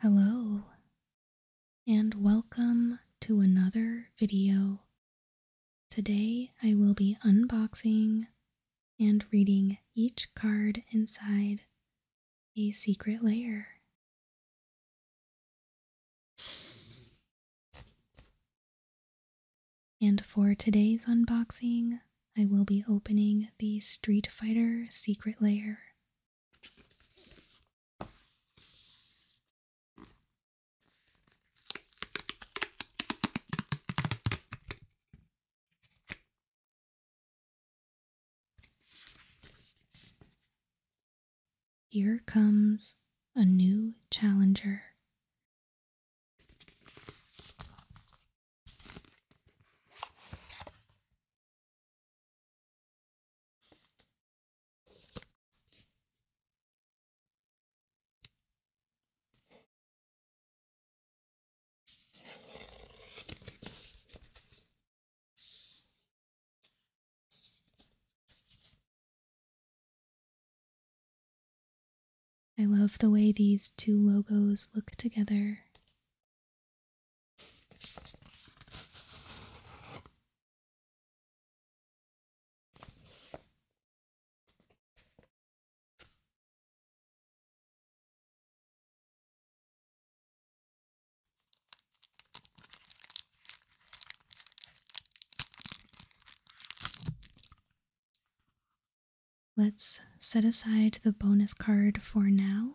Hello, and welcome to another video. Today I will be unboxing and reading each card inside a secret layer. And for today's unboxing, I will be opening the Street Fighter Secret Layer. Here comes a new challenger. I love the way these two logos look together. Let's set aside the bonus card for now.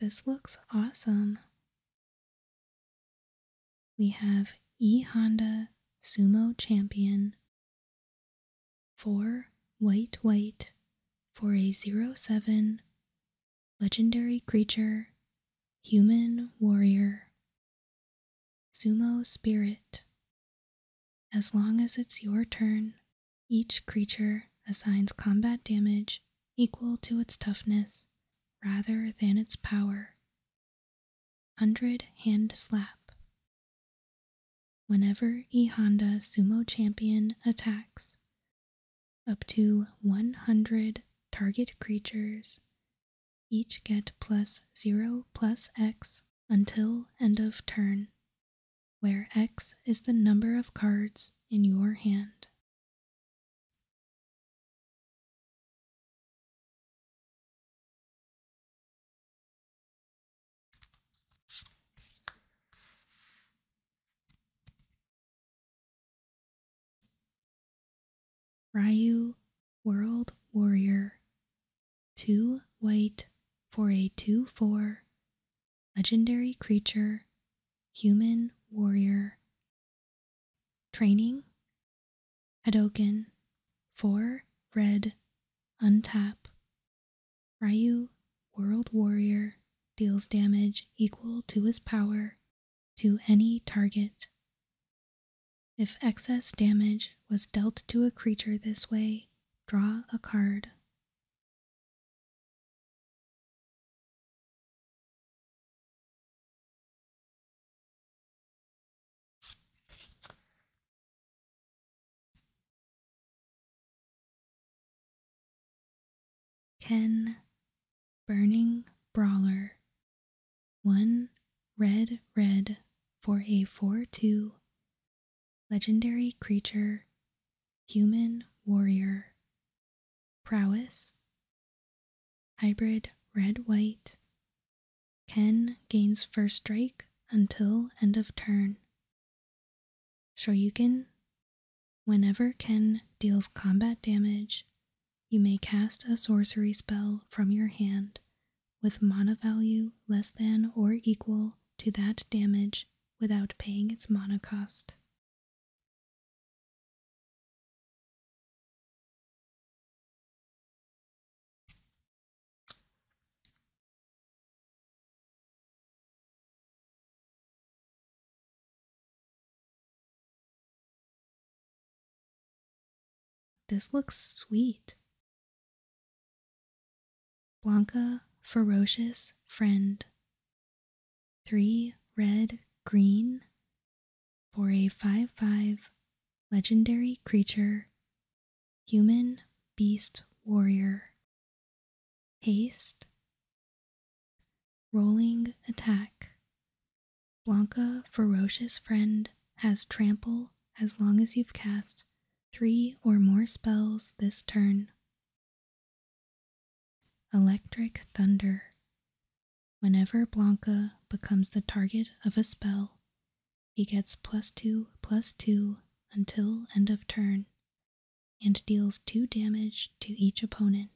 This looks awesome. We have E Honda Sumo Champion. Four white white for a zero seven legendary creature human warrior. Sumo Spirit as long as it's your turn, each creature assigns combat damage equal to its toughness rather than its power. 100 Hand Slap Whenever E Honda Sumo Champion attacks, up to 100 target creatures each get plus 0 plus X until end of turn, where X is the number of cards in your hand. Ryu World Warrior two white for a 2 4 legendary creature, human warrior. Training Hadoken, 4 red, untap. Ryu, World Warrior, deals damage equal to his power to any target. If excess damage was dealt to a creature this way, Draw a card. Ken Burning Brawler. One red, red for a 4 2 legendary creature, human warrior, prowess, hybrid red white, Ken gains first strike until end of turn. Shoryuken, whenever Ken deals combat damage, you may cast a sorcery spell from your hand with mana value less than or equal to that damage without paying its mana cost. This looks sweet. Blanca, ferocious friend. Three red green for a 5 5 legendary creature, human beast warrior. Haste, rolling attack. Blanca, ferocious friend, has trample as long as you've cast three or more spells this turn. Electric Thunder. Whenever Blanca becomes the target of a spell, he gets plus 2 plus 2 until end of turn and deals 2 damage to each opponent.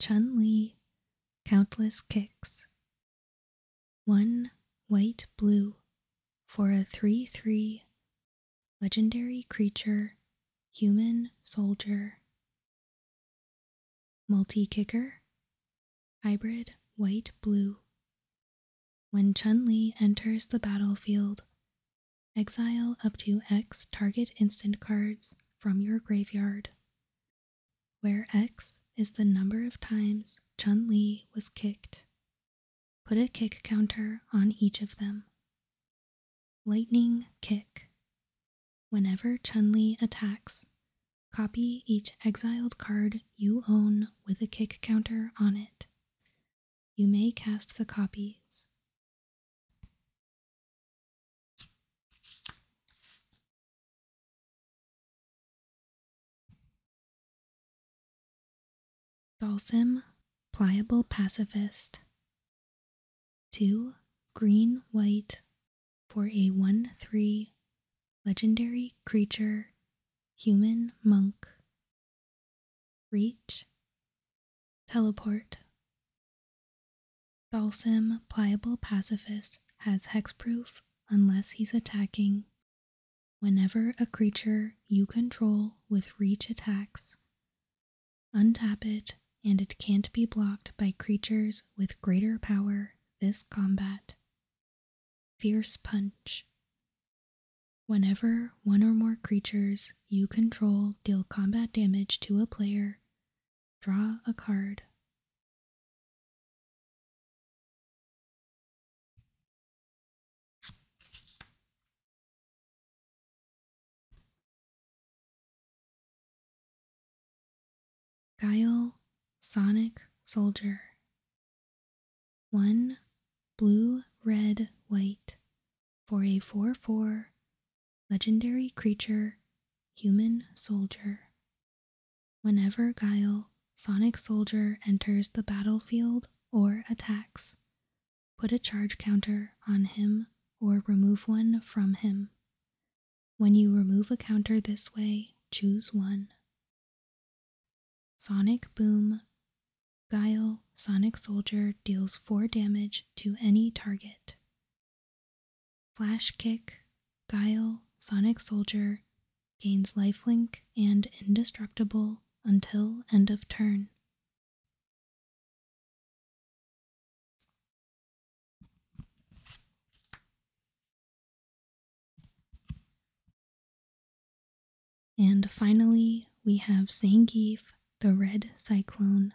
Chun Li, countless kicks. One white blue for a 3 3 legendary creature, human soldier. Multi kicker, hybrid white blue when Chun Li enters the battlefield, exile up to X target instant cards from your graveyard, where X is the number of times Chun Li was kicked. Put a kick counter on each of them. Lightning Kick. Whenever Chun Li attacks, copy each exiled card you own with a kick counter on it you may cast the copies. Dalsim, Pliable Pacifist. 2. Green White for a 1 3 legendary creature, human monk, reach, teleport. Dalsim, pliable pacifist, has hexproof unless he's attacking. Whenever a creature you control with reach attacks, untap it and it can't be blocked by creatures with greater power this combat. Fierce Punch. Whenever one or more creatures you control deal combat damage to a player, draw a card. Guile Sonic Soldier. One blue, red, white for a 4 4 legendary creature, human soldier. Whenever Guile, Sonic Soldier enters the battlefield or attacks, put a charge counter on him or remove one from him. When you remove a counter this way, choose one. Sonic Boom Guile Sonic Soldier deals 4 damage to any target. Flash Kick Guile Sonic Soldier gains lifelink and indestructible until end of turn. And finally, we have Zangief, the Red Cyclone.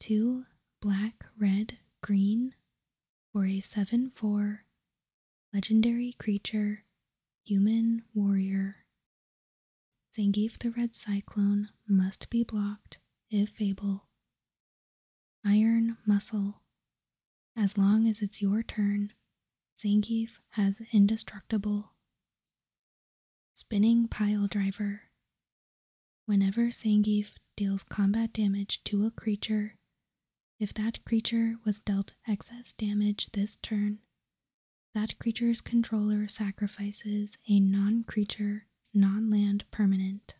Two black, red, green for a 7 4 legendary creature, human warrior. Zangief the Red Cyclone must be blocked if able. Iron Muscle as long as it's your turn, Zangief has indestructible. Spinning Pile Driver. Whenever Zangief deals combat damage to a creature, if that creature was dealt excess damage this turn, that creature's controller sacrifices a non creature, non land permanent.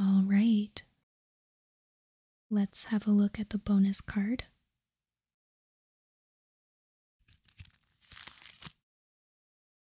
All right. Let's have a look at the bonus card.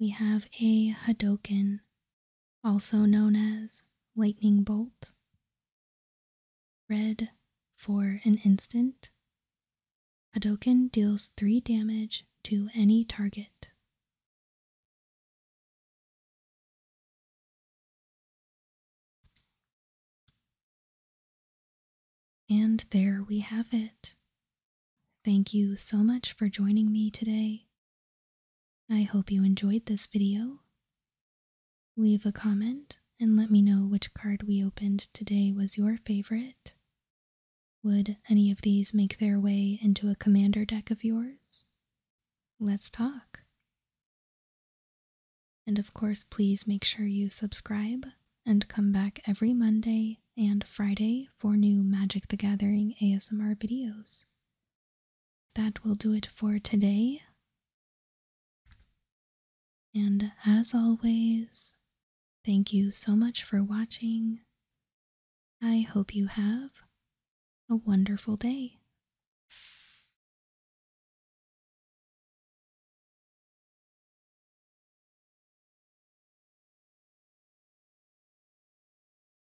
we have a Hadoken, also known as Lightning Bolt. Red for an instant. Hadoken deals 3 damage to any target. And there we have it. Thank you so much for joining me today I hope you enjoyed this video. Leave a comment and let me know which card we opened today was your favorite. Would any of these make their way into a commander deck of yours? Let's talk. And of course, please make sure you subscribe and come back every Monday and Friday for new Magic the Gathering ASMR videos. That will do it for today. And as always, thank you so much for watching. I hope you have a wonderful day.